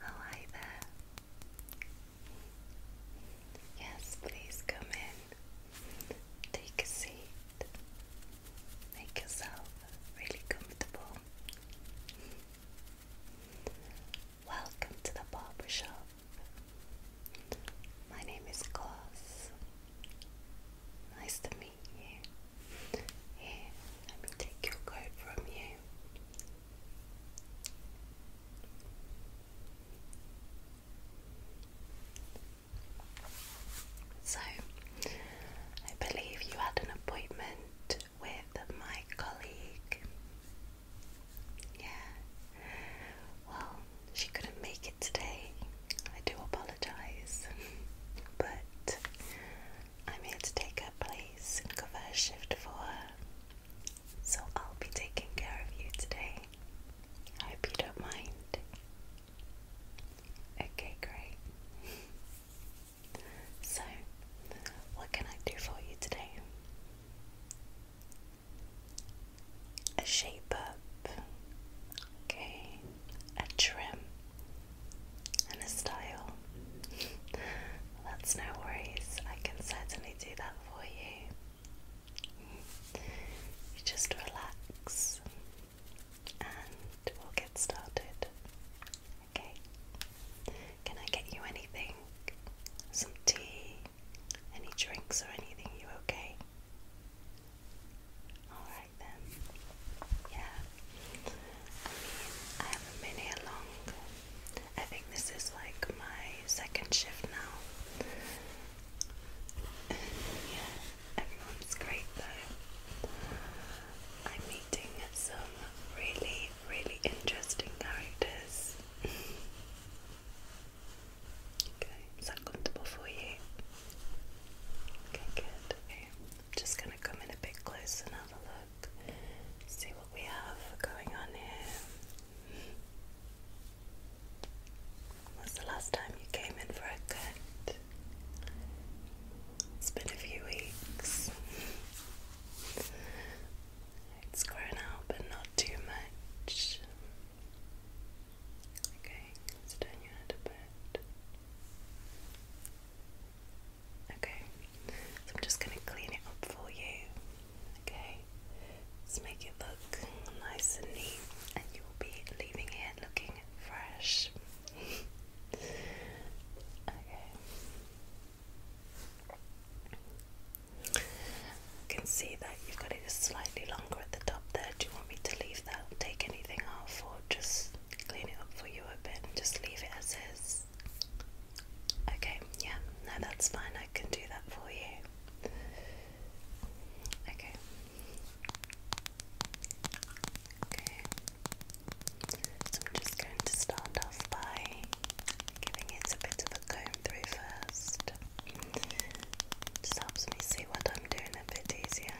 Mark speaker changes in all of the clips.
Speaker 1: hi there. Yes, please come in. Take a seat. Make yourself really comfortable. Welcome to the barber shop. My name is Cos. Nice to meet you. Here, let me take your coat from you. So, I believe you had an appointment with my colleague. Yeah. Well, she couldn't make it today. I do apologize. but I'm here to take her place and cover a shift for her. So I'll be taking care of you today. I hope you don't mind. Okay, great. so, what can I do for you today? A shape up, okay, a trim, and a style. That's no worries, I can certainly do that for you. just relax and we'll get started. Okay, can I get you anything? Some tea? Any drinks or anything? You okay? Alright then. Yeah, I have a mini along. I think this is like my second shift now. yeah, everyone's great though. I'm meeting some really, really interesting characters. okay, is that comfortable for you? Okay, good. I'm just gonna come in a bit closer and have a look. Let's see what we have going on here. When's the last time you came in for a cut? It's been a few weeks. It's grown out, but not too much. Okay, turn your head a bit. Okay, I'm just going to clean it up for you. Okay, let's make it look nice and neat, and you will be leaving it looking fresh. okay, can see that you've got it slightly longer at the top there. Do you want me to leave that, take anything off, or just clean it up for you a bit just leave it as is? Okay, yeah, no, that's fine. I can do that for you. Okay. Okay. So I'm just going to start off by giving it a bit of a comb through first. Just helps me see what I'm doing a bit easier.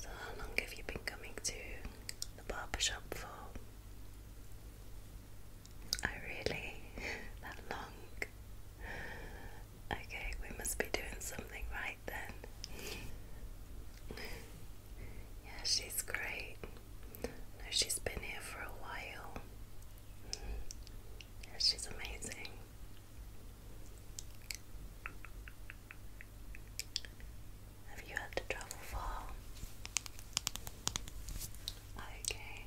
Speaker 1: So, how long have you been coming to the barber shop for? Oh, really? that long? Okay, we must be doing something right then. yeah, she's great. I she's been here for a while she's amazing. Have you had to travel far? Okay.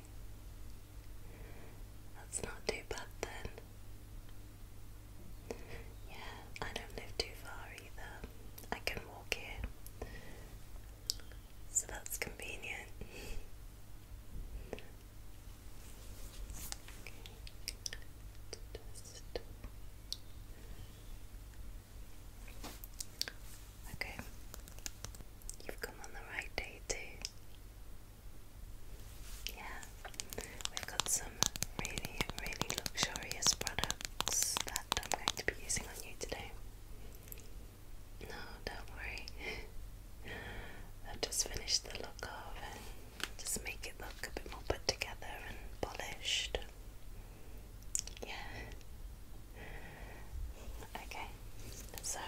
Speaker 1: That's not too bad then. Yeah, I don't live too far either. I can walk here. So that's convenient. Okay. You've come on the right day too. Yeah. We've got some really, really luxurious products that I'm going to be using on you today. No, don't worry. I've just finished the look of and just make it look a bit more put together and polished. Yeah. Okay, so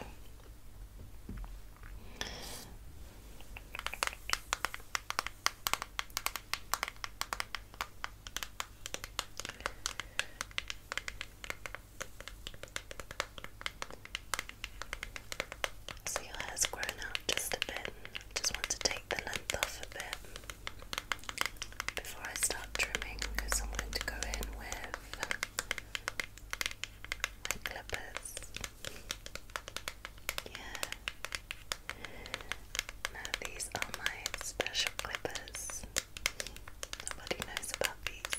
Speaker 1: so your hair's grown out just a bit. Just want to take the length off a bit before I start trimming because I'm going to go in with clippers. Yeah. Now these are my special clippers. Nobody knows about these.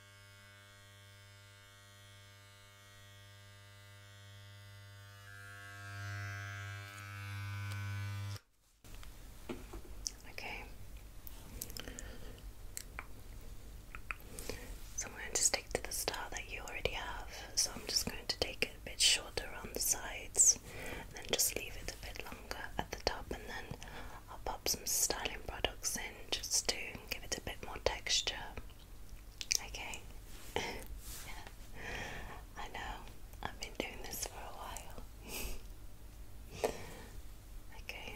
Speaker 1: Okay. So I'm going to stick to the star that you already have. So I'm just going to take it a bit shorter on the sides and then just leave it a bit longer at the top and then I'll pop some styling products in just to give it a bit more texture. Okay. I know. I've been doing this for a while. Okay.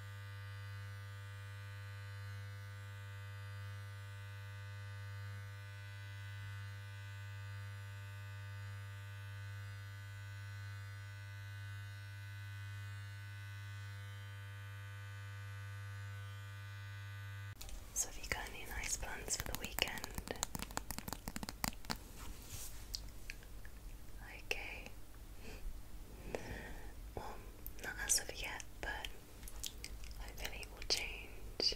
Speaker 1: So, have you got any nice plans for the weekend? Okay. Well, not as of yet, but Hopefully, it will change.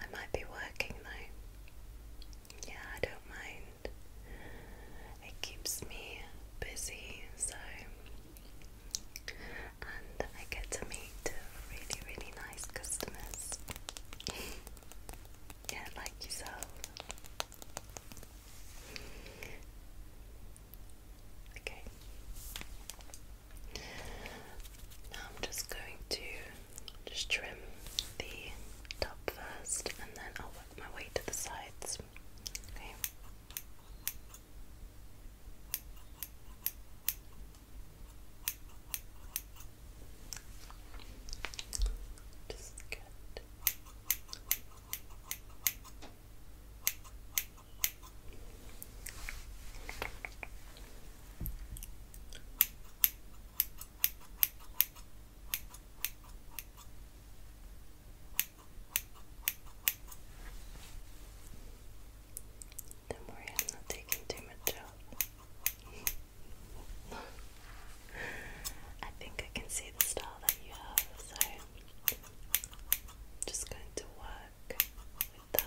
Speaker 1: I might be working though. Yeah, I don't mind. It keeps me busy, so. And I get to meet really, really nice customers. yeah, like yourself. Okay. Now I'm just going to just trim the top first and then I'll work my way to the sides. Okay. Just get don't worry, I'm not taking too much out. I think I can see the style that you have, so just going to work with that.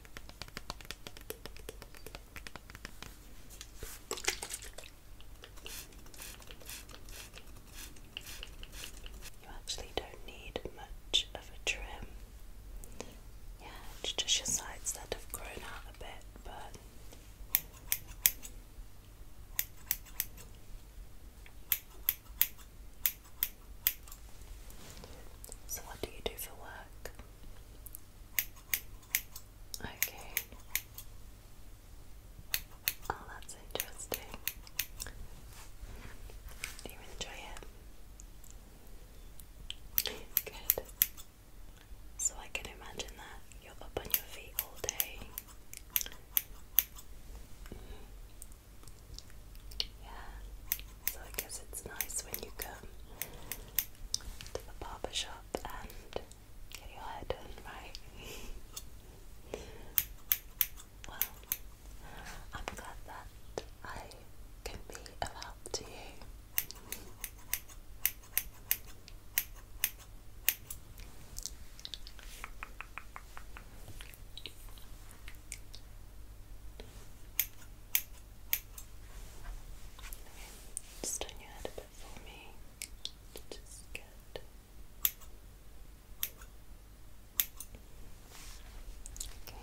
Speaker 1: You actually don't need much of a trim. Yeah, just your sides that have grown out a bit, but. So, what do you do for work? Okay. Oh, that's interesting. Do you enjoy it? Good. So I can imagine that you're up on your feet all day. Yeah, so I guess it's nice when you come to the barber shop and get your hair done, right? well, I'm glad that I can be of help to you just turn your head a bit for me. Just good. Okay.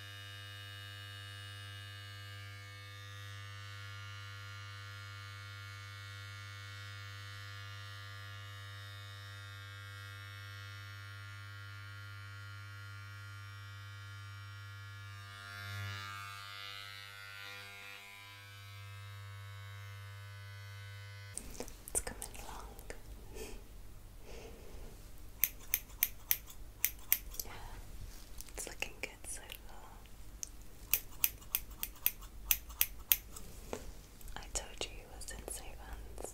Speaker 1: It's coming along it's looking good so far. I told you you were sensei once.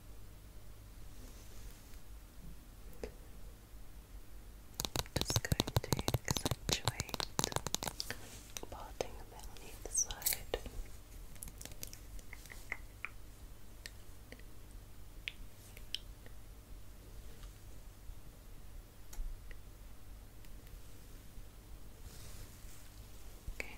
Speaker 1: Just going to accentuate parting a bit on either side. Okay.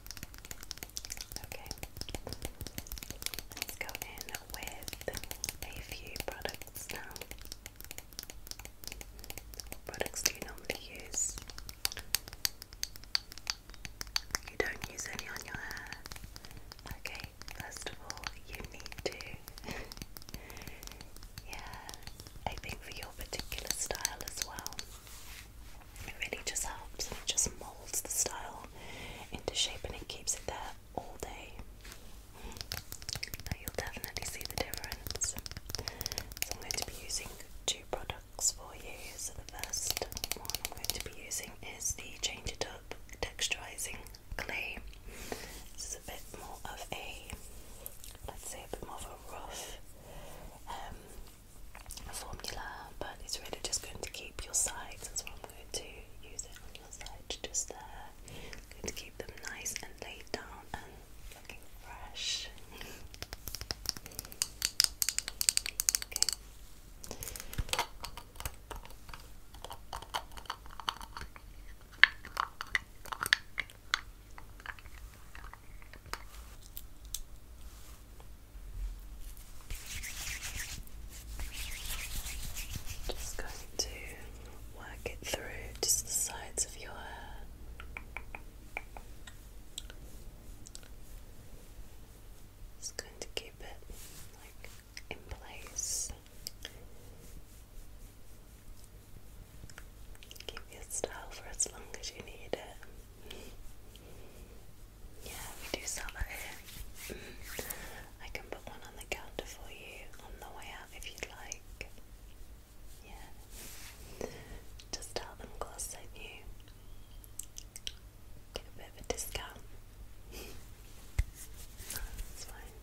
Speaker 1: Okay, let's go in with a few products now. products do you normally use? You don't use any on your hair. Okay, first of all, you need to. yeah, I think for your particular style as well. It really just helps and it just molds the style into shape and it keeps it there all day. you'll definitely see the difference. So I'm going to be using two products for you. So the first one I'm going to be using is the Change It Up Texturizing Clay. This is a bit more of a, let's say, a bit more of a rough um, formula, but it's really just going to keep your sides. as well going to use it on your side just there. Uh, to keep them nice and laid down and looking fresh. Just going to work it through just the sides of your hair. Just going to keep it like in place. Keep your style for as long as you need it. Yeah, we do sell that here. Mm. I can put one on the counter for you on the way out if you'd like. Yeah. Just tell them Gloss sent Get a bit of a discount. no, fine.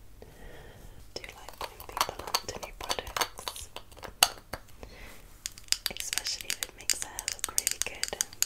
Speaker 1: do like when people on to new products. Especially if it makes their hair look really good.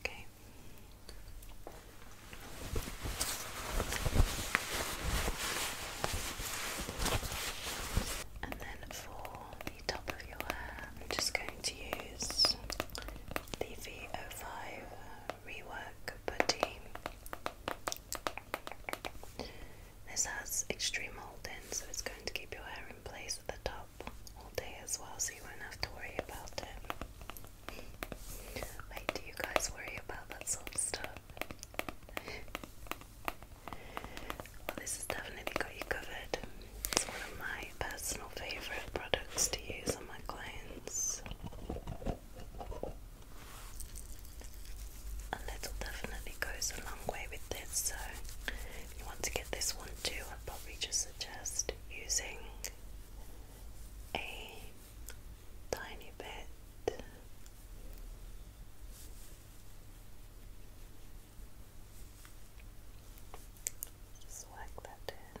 Speaker 1: Okay. And then for the top of your hair, I'm just going to use the V05 Rework Putty this has extreme hold in, so it's going to keep your hair in place at the top all day as well, so you won't have to worry about it. Wait, do you guys worry about that sort of stuff? well, this has definitely got you covered. It's one of my personal favourite products to use on my clients. A little definitely goes a long way with this, so if you want to get this one too, I'd probably just suggest using a tiny bit. Just work that in.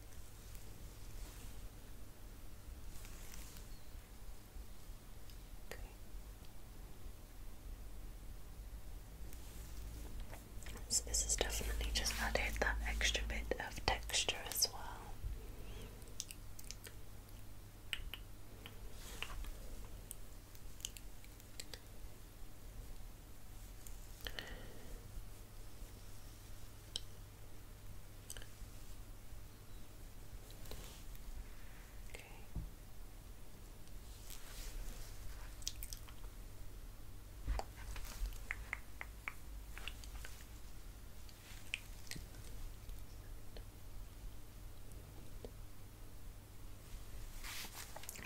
Speaker 1: So this is definitely just added that extra bit of texture as well. Okay.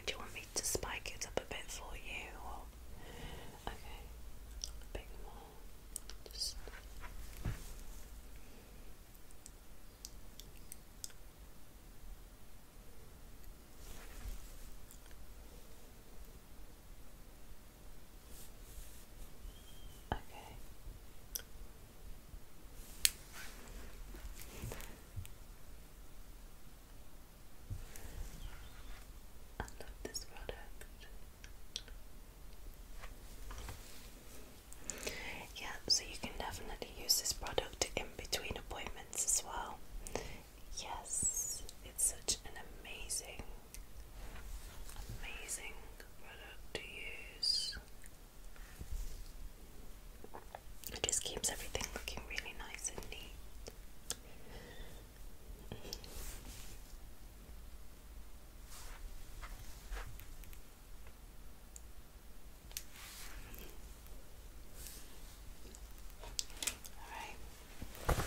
Speaker 1: Do you want me to spike it up a bit for you? Okay, just Okay. I love this product. Yeah, so you can definitely use this product in between appointments as well. Yes, it's such an amazing, amazing product to use. It just keeps everything looking really nice and neat. All right. Perfect.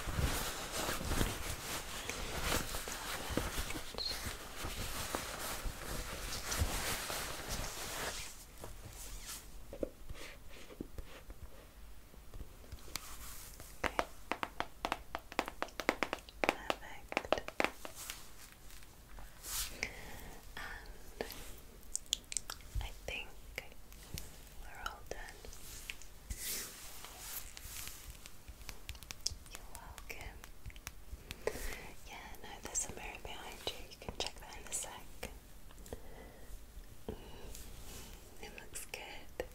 Speaker 1: Okay. Perfect. And I think we're all done. You're welcome. Yeah, no, there's a mirror behind you. You can check that in a sec. Mm, it looks good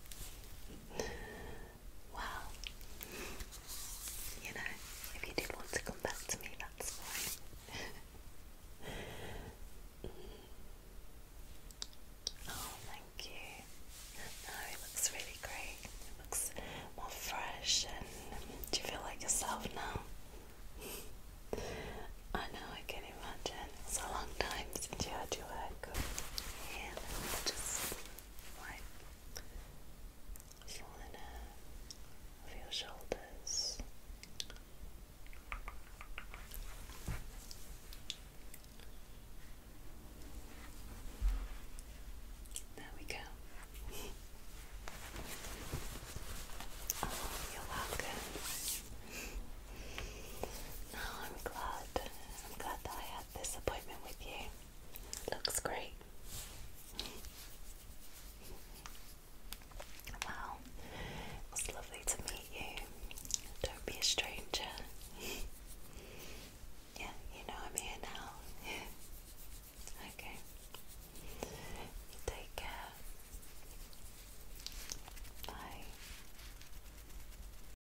Speaker 1: well, you know, if you did want to come back to me, that's fine. oh, thank you. No, it looks really great. It looks more fresh, and do you feel like yourself now? I know, I can imagine. It's a long time since you had your haircut. Yeah, just of your shoulders there we go you're welcome no, I'm glad I'm glad that I this appointment with you. Looks great. Wow, it lovely to meet you. Don't be a stranger. yeah, you know I'm here now. okay. take care. Bye.